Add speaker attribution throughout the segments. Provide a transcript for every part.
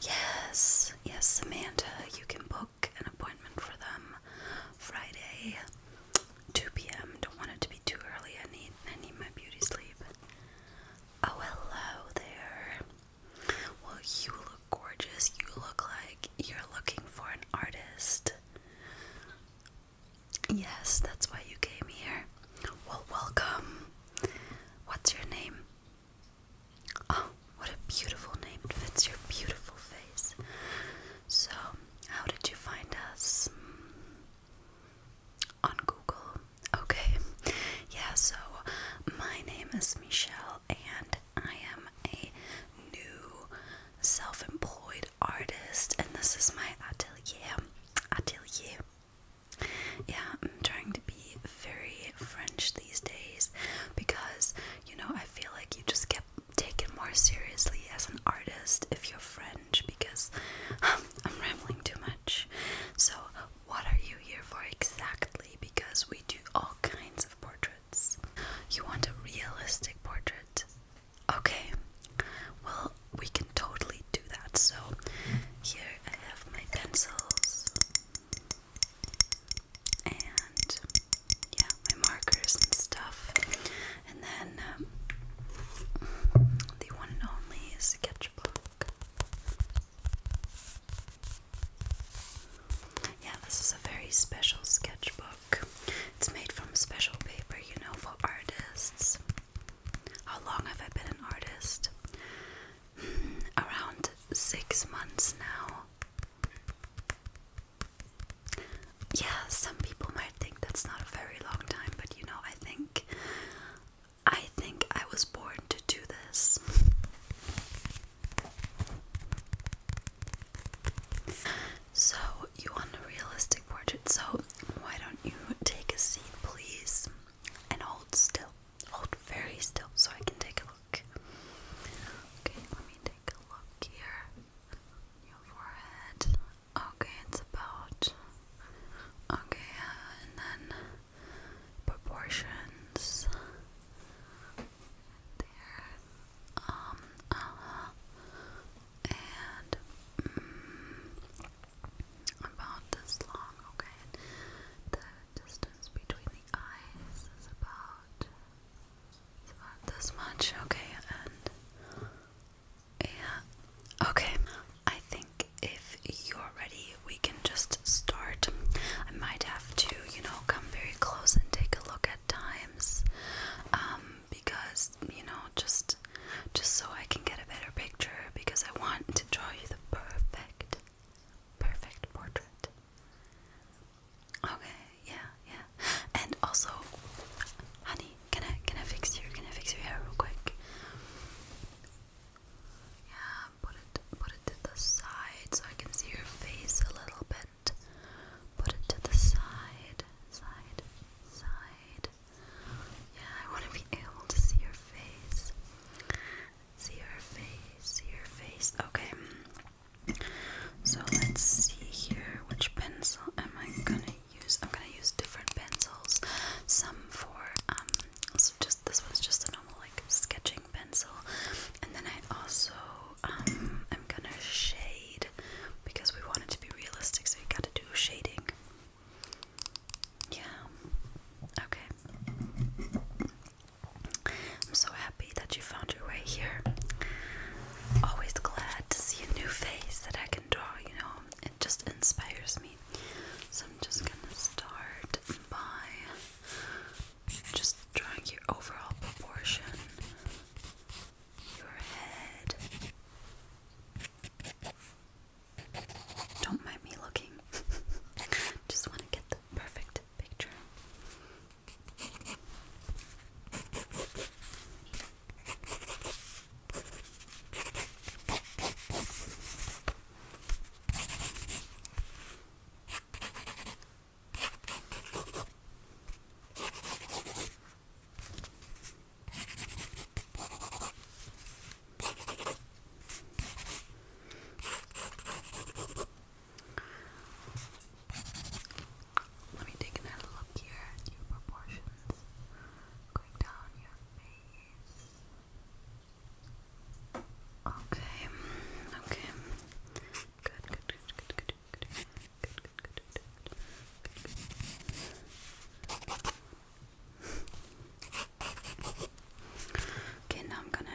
Speaker 1: Yes, yes, Samantha, you can book an appointment for them Friday, 2 p.m. Don't want it to be too early. I need I need my beauty sleep. Oh hello there. Well, you look gorgeous. You look like you're looking for an artist. Yes, that's why you came here. Well, welcome. What's your name? Oh, what a beautiful name. It fits your beautiful face. So, how did you find us? On Google. Okay. Yeah, so my name is Michelle and I am a new self employed artist, and this is my atelier. Atelier. Yeah, I'm trying to be very French these days because, you know, I feel like you just get taken more seriously as an artist if you're French because um, I'm rambling too much. So, what are you here for exactly? Because we do all kinds of portraits. You want a realistic portrait? Okay, well, we can totally do that. So, here I have my pencils and yeah, my markers and stuff. And then um, the one and only sketchbook. Yeah, this is a very special sketchbook. It's made from special paper, you know, for artists. How long have I been an artist? Mm, around six months now. Yeah, some people might think that's not a very long time, but you know, I think I think I was born to do this. So, you want a realistic portrait, so why don't you take a seat, please, and hold still. Hold very still so I can take a look. Okay, let me take a look here. Your forehead. Okay, it's about. Okay, and then proportions there. Um, uh, And mm, about this long, okay? The distance between the eyes is about, about this much, okay? And yeah, okay. I think if you're ready, we can just start. I might have to, you know, come very close and take a look at times, um, because you know, just just so I can get a better picture, because I want to draw you the perfect, perfect portrait. Okay, yeah, yeah, and also, honey, can I can I fix you? Can I fix your hair real quick? Yeah, put it put it to the side so I can see your face a little bit. Put it to the side, side, side. Yeah, I want to be able to see your face. See your face, see your face. Okay. So let's see here which pencil am I gonna use? I'm gonna use different pencils. Some for um, just this one's just a normal like sketching pencil. And then I also um, am gonna shade because we want it to be realistic, so you gotta do shading. Yeah. Okay. I'm so happy that you found your way here. Always glad to see a new face that I can draw, you know. It just inspires me. So I'm just gonna start by just drawing your overall proportion, your head. Don't mind me looking. Just want to get the perfect picture. Let me take another look here at your proportions. Going down your face. Okay, okay. Okay, now I'm gonna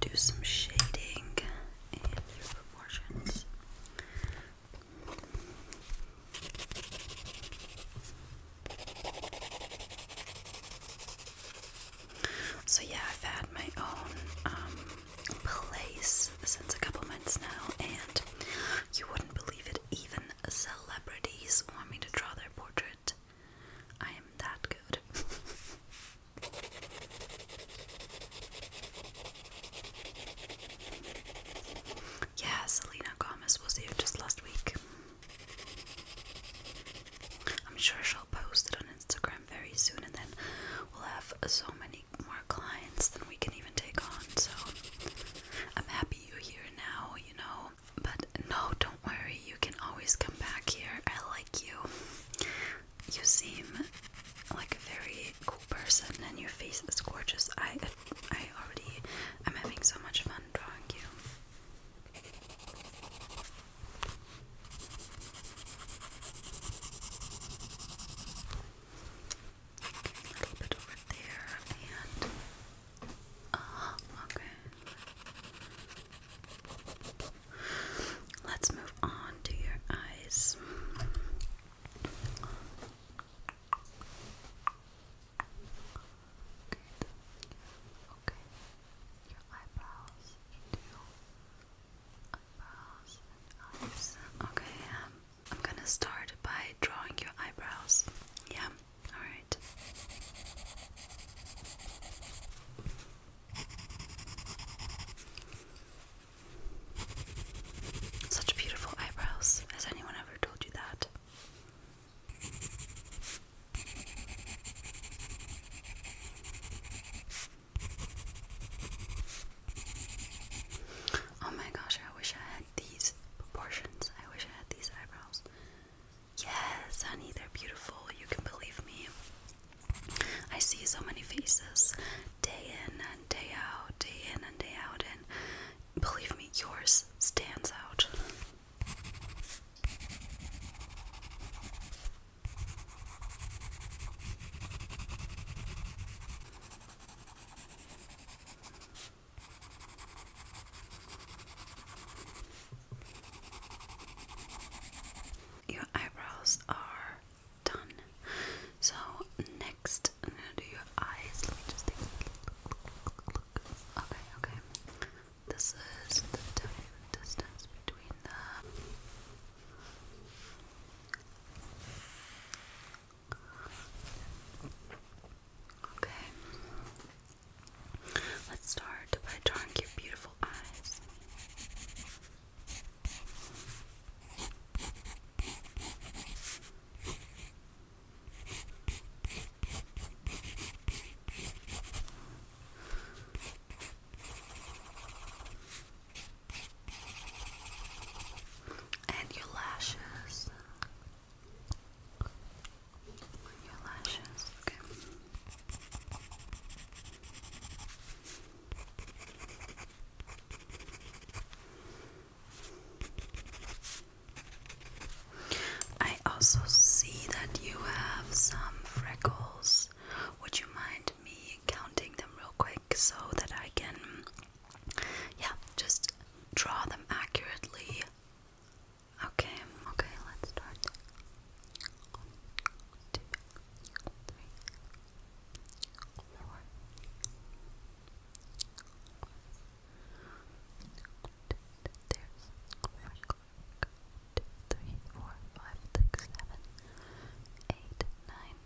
Speaker 1: do some shading and your proportions. So yeah, I've had my own um, place since a couple months now, and you wouldn't believe it. Even celebrities want me to draw their portrait. I am that good. yeah, Selena Gomez was here just last week. I'm sure she'll post it on Instagram very soon, and then we'll have so many more clients than we can even take on. So I'm happy you're here now, you know. But no, don't worry, you can always come back here. I like you. You seem like a very cool person, and your face is gorgeous. I, I already, I'm having so much fun drawing you a little bit over there and uh, okay. Let's move on to your eyes. Okay. Your eyebrows too. Okay, um, I'm gonna start by drawing your eyebrows. Yeah, alright. Such beautiful eyebrows. Has anyone ever told you that? Oh my gosh, I wish I had these proportions. I wish I had these eyebrows. Yes, honey, they're beautiful. You can believe me. I see so many faces day in and day out, day in and day out, and believe me, yours stands out. Your eyebrows are done. So next, I'm gonna do your eyes. Okay, okay. This is the distance between them. Okay. Let's start by drawing your beautiful eyes and your lashes. Your lashes, okay. I also see that you have some freckles. Would you mind me counting them real quick so that I can, yeah, just draw them accurately. Okay, okay, let's start. one, two, three, four, five, six, seven, eight, nine,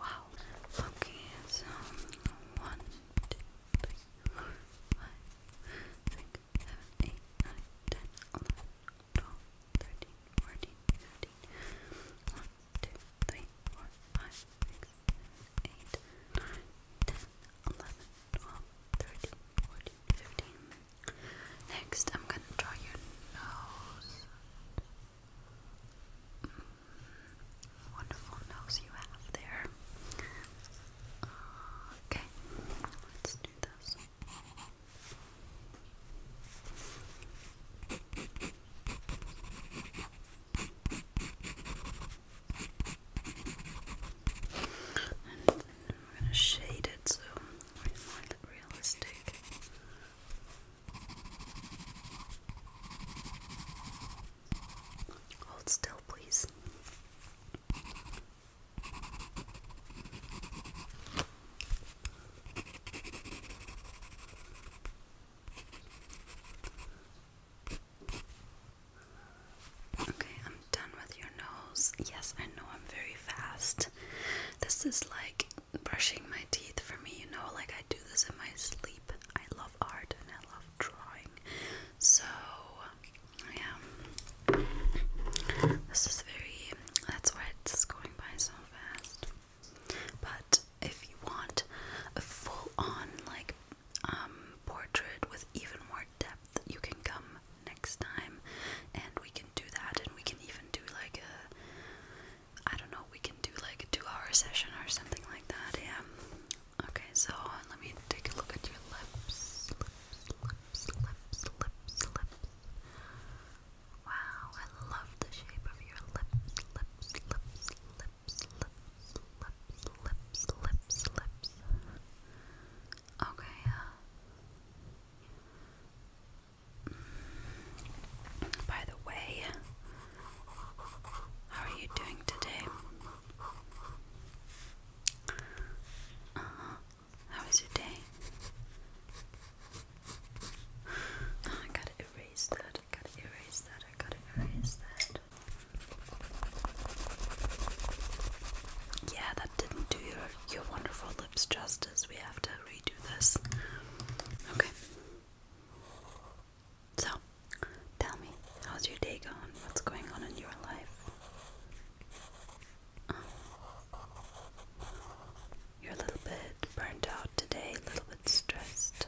Speaker 1: Wow. Okay, so one, two, three, four, five, six, seven, eight, nine, ten, eleven, twelve, thirteen, fourteen, fifteen. One, two, three, four, five, six, seven, eight, nine, ten, eleven, twelve, thirteen, fourteen, fifteen. Next, I'm gonna draw your nose wonderful nose you have there. Okay, let's do this. And I'm gonna shade it so we find it realistic. Hold still, please. Okay, I'm done with your nose. Yes, I know I'm very fast. This is like brushing my teeth for me, you know, like I do this in my sleep. I love art and I love drawing. So, yeah, this is very, that's why it's going by so fast. But if you want a full on, like, um, portrait with even more depth, you can come next time and we can do that. And we can even do like a, I don't know, we can do like a two hour session or something like that. Yeah, Okay, so let me take a look at your lips. Lips, lips, lips, lips, lips. Wow, I love the shape of your lips, lips, lips, lips, lips, lips, lips, lips, lips. Okay, uh, mm, by the way, how are you doing today? Uh-huh. How was your day? Ah, I gotta erase that. I gotta erase that. I gotta erase that. Yeah, that didn't do your your wonderful lips justice. We have to redo this. Okay. So, tell me, how's your day going? What's going on in your life? you're a little bit burnt out today, a little bit stressed.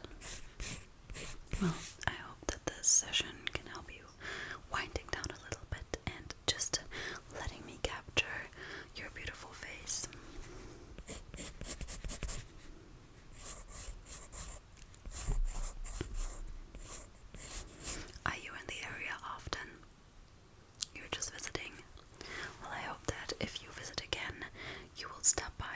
Speaker 1: Well, I hope that this session can help you winding down a little bit and just letting me capture your beautiful face. Are you in the area often? You're just visiting? Well, I hope that if you visit again, you will stop by.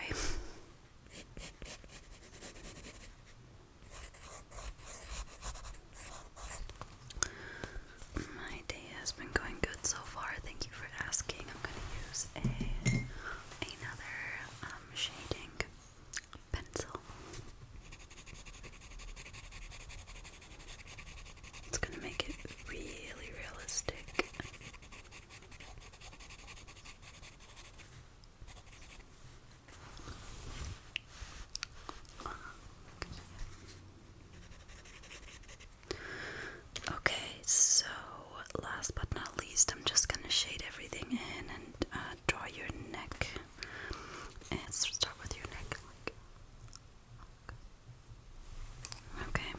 Speaker 1: My day has been going good so far. Thank you for asking. I'm going to use a another um, shading pencil. It's going to make it really realistic. Okay, so last but not least, I'm just gonna shade everything in and uh, gonna draw your neck. And start with your neck. Okay.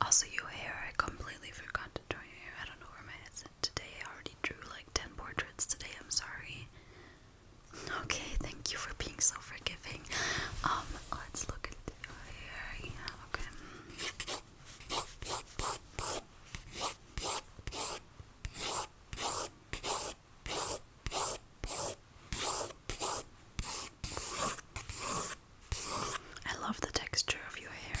Speaker 1: Also, your hair. I completely forgot to draw your hair. I don't know where my head is today. I already drew like 10 portraits today. I'm sorry. Okay, thank you for being so forgiving. Um, let's look at the here. okay. I love the texture of your hair.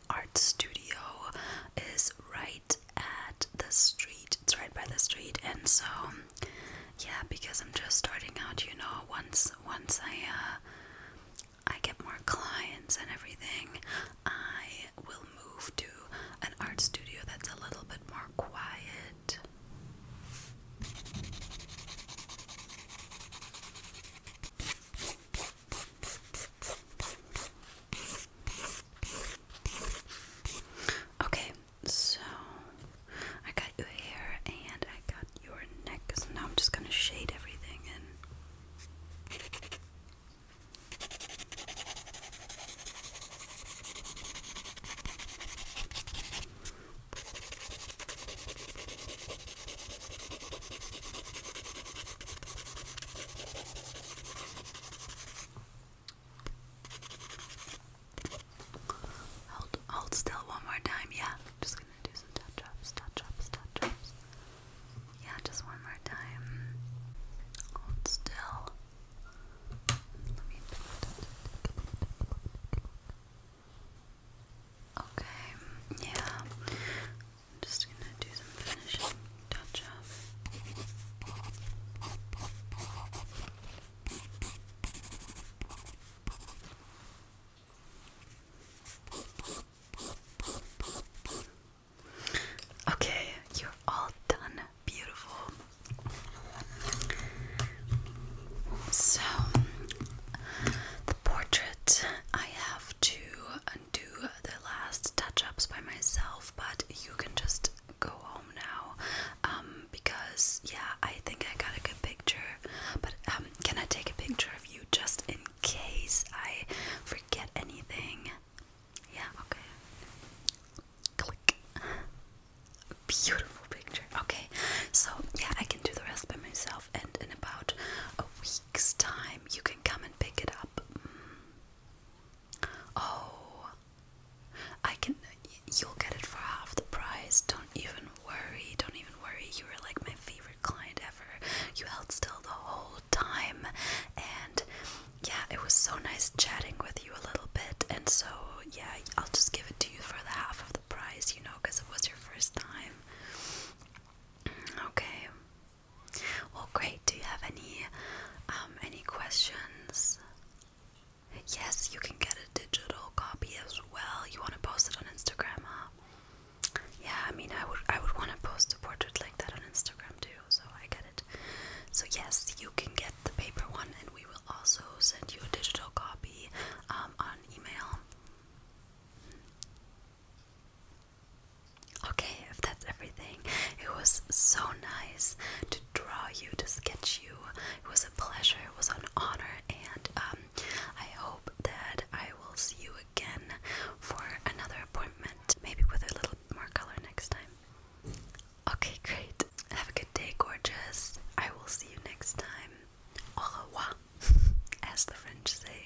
Speaker 1: art studio is right at the street. It's right by the street, and so yeah, because I'm just starting out, you know, once once I uh, I get more clients and everything, I will move to an art studio that's a little bit more quiet. Okay, so I got your hair and I got your neck, so now I'm just gonna shade everything in. Hold, hold still one more time, yeah. Just gonna do some touch ups, touch ups, touch ups. Yeah, just one more time. Hold still. Let me. Okay, yeah. I'm just gonna do some finishing touch up. Okay, you're all done. Beautiful. So, the portrait I have to do the last touch ups by myself, but you can just go home now um, because, yeah, I think I got a good picture. But um, can I take a picture of you just in case I forget anything? Yeah, okay. Click. Beautiful picture. Okay, so yeah, I can do the rest by myself, and in about a week Next time, you can come and pick it up. Mm. Oh, I can. You'll get it for half the price. Don't even worry. Don't even worry. You were like my favorite client ever. You held still the whole time, and yeah, it was so nice chatting with you a little bit. And so yeah, I'll just give it to you for the half of the price. You know, because it was your first time. Mm, okay. Well, great. Do you have any um, any questions? Yes, you can get a digital copy as well. You want to post it on Instagram, huh? Yeah, I mean, I would I would want to post a portrait like that on Instagram too. So I get it. So yes, you can get the paper one, and we will also send you a digital copy um, on email. Okay, if that's everything, it was so nice to draw you, to sketch you. It was a pleasure, it was an honor, and um, I hope that I will see you again for another appointment, maybe with a little more color next time. Okay, great. Have a good day, gorgeous. I will see you next time. Au revoir, as the French say.